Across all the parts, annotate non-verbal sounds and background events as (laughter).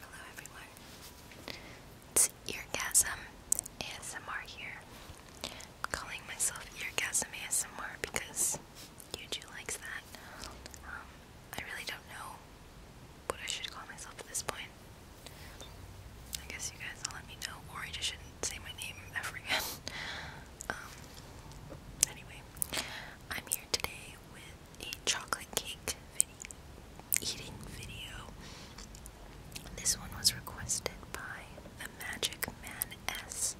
Hello everyone, it's Eargasm ASMR here. I'm calling myself Eargasm ASMR because YouTube likes that. Um, I really don't know but I should call myself at this point. I guess you guys all let me know, or I just shouldn't say my name ever again. (laughs) um, anyway, I'm here today with a chocolate cake video, eating video. This one was requested by the Magic Man S.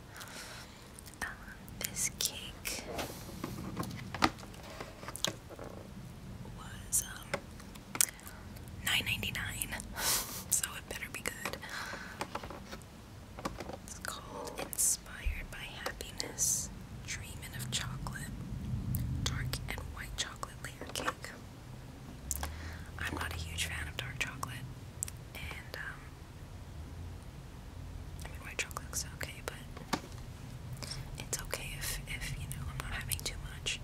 Um, this cake was um, (laughs) so it better be good. It's called inspired by happiness, dreaming of chocolate, dark and white chocolate layer cake. I'm not a huge fan of dark chocolate, and um, white chocolate looks okay, but it's okay if if you know I'm not having too much.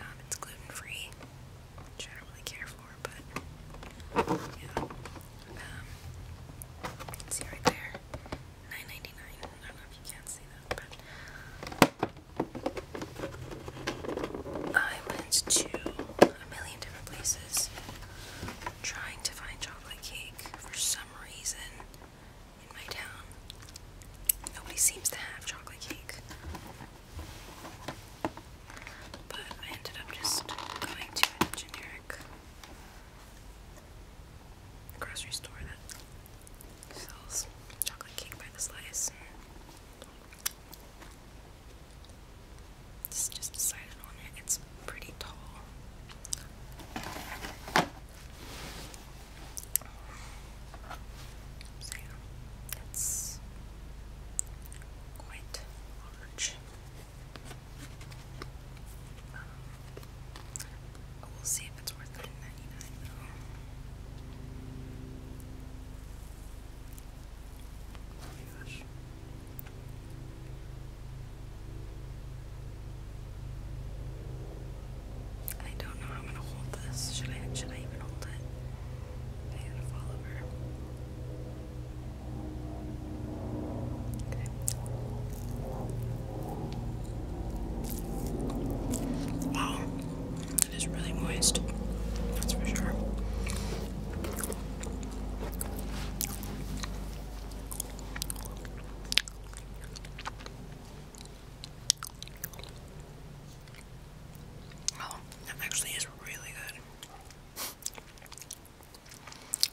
Um, it's gluten free, I don't really care for, but yeah. Um, see right there, nine ninety nine. I don't know if you can see that, but I went to a million different places trying to find chocolate cake for some reason in my town. Nobody seems to have chocolate cake. But I ended up just going to a generic grocery store that sells chocolate cake by the slice. Just, decided on it. It's pretty tall. So quite large we'll see if it's worth oh I don't know I'm gonna hold this. Should I should I even hold it? I gotta fall over. Wow, it is really moist, that's for sure. Oh, that actually is really good.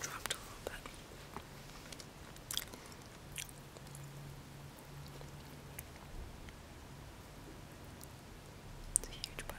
Dropped a little bit. It's a huge bite.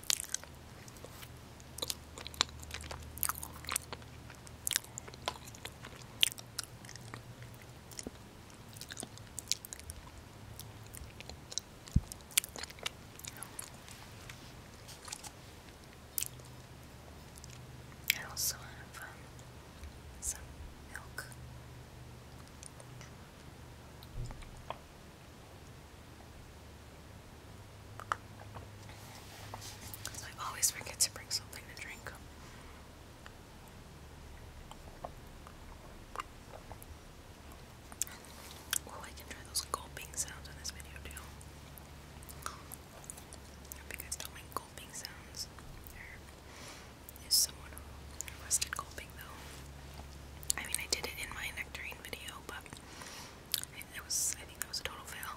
I also have um, some milk. I always forget to bring something to drink. Oh, I can try those gulping sounds in this video too. I hope you guys don't gulping sounds. There is someone requested gulping I mean, I did it in my nectarine video, but it was, I think that was a total fail.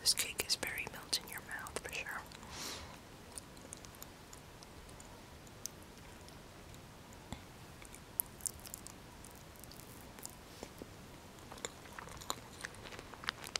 This cake is very melt in your mouth for sure.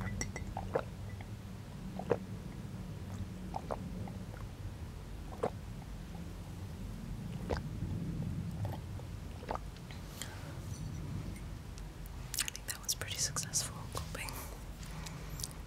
I think that was pretty successful coping.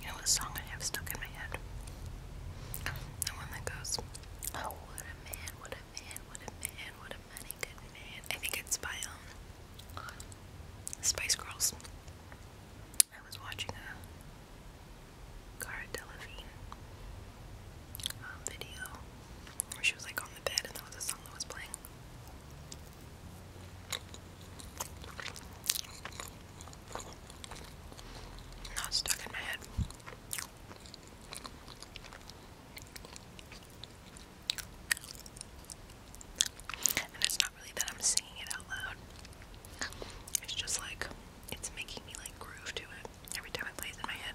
You know what song I have stuck in my head? The one that goes, oh, what a man, what a man, what a man, what a mighty good man. I think it's by, um, Spice Girls. I was watching a Cara Delevingne um, video where she was like on the bed and that was a song that was playing. Not stuck in my head. And it's not really that I'm singing it out loud. It's just like it's making me like groove to it every time it plays in my head.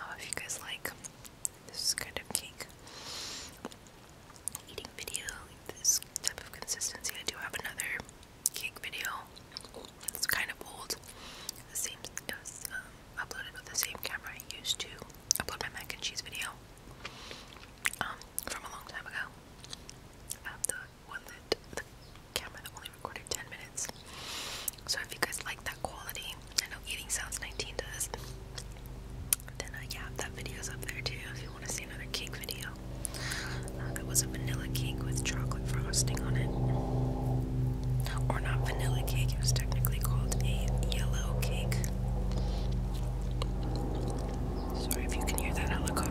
Oh, if you guys like this kind of cake eating video, this type of consistency, I do have another cake video. It's kind of old. The same it was um, uploaded with the same camera I used to upload my mac and cheese video um, from a long time ago. Um, the one that the camera that only recorded 10 minutes. So if you guys like that quality, I know Eating Sounds 19 does. Then uh, yeah, that video's up there too if you want to see another cake video. Uh, it was a vanilla cake with chocolate frosting on it. Or not vanilla cake, it was technically called a yellow cake. Sorry if you can hear that helicopter.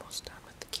Almost done with the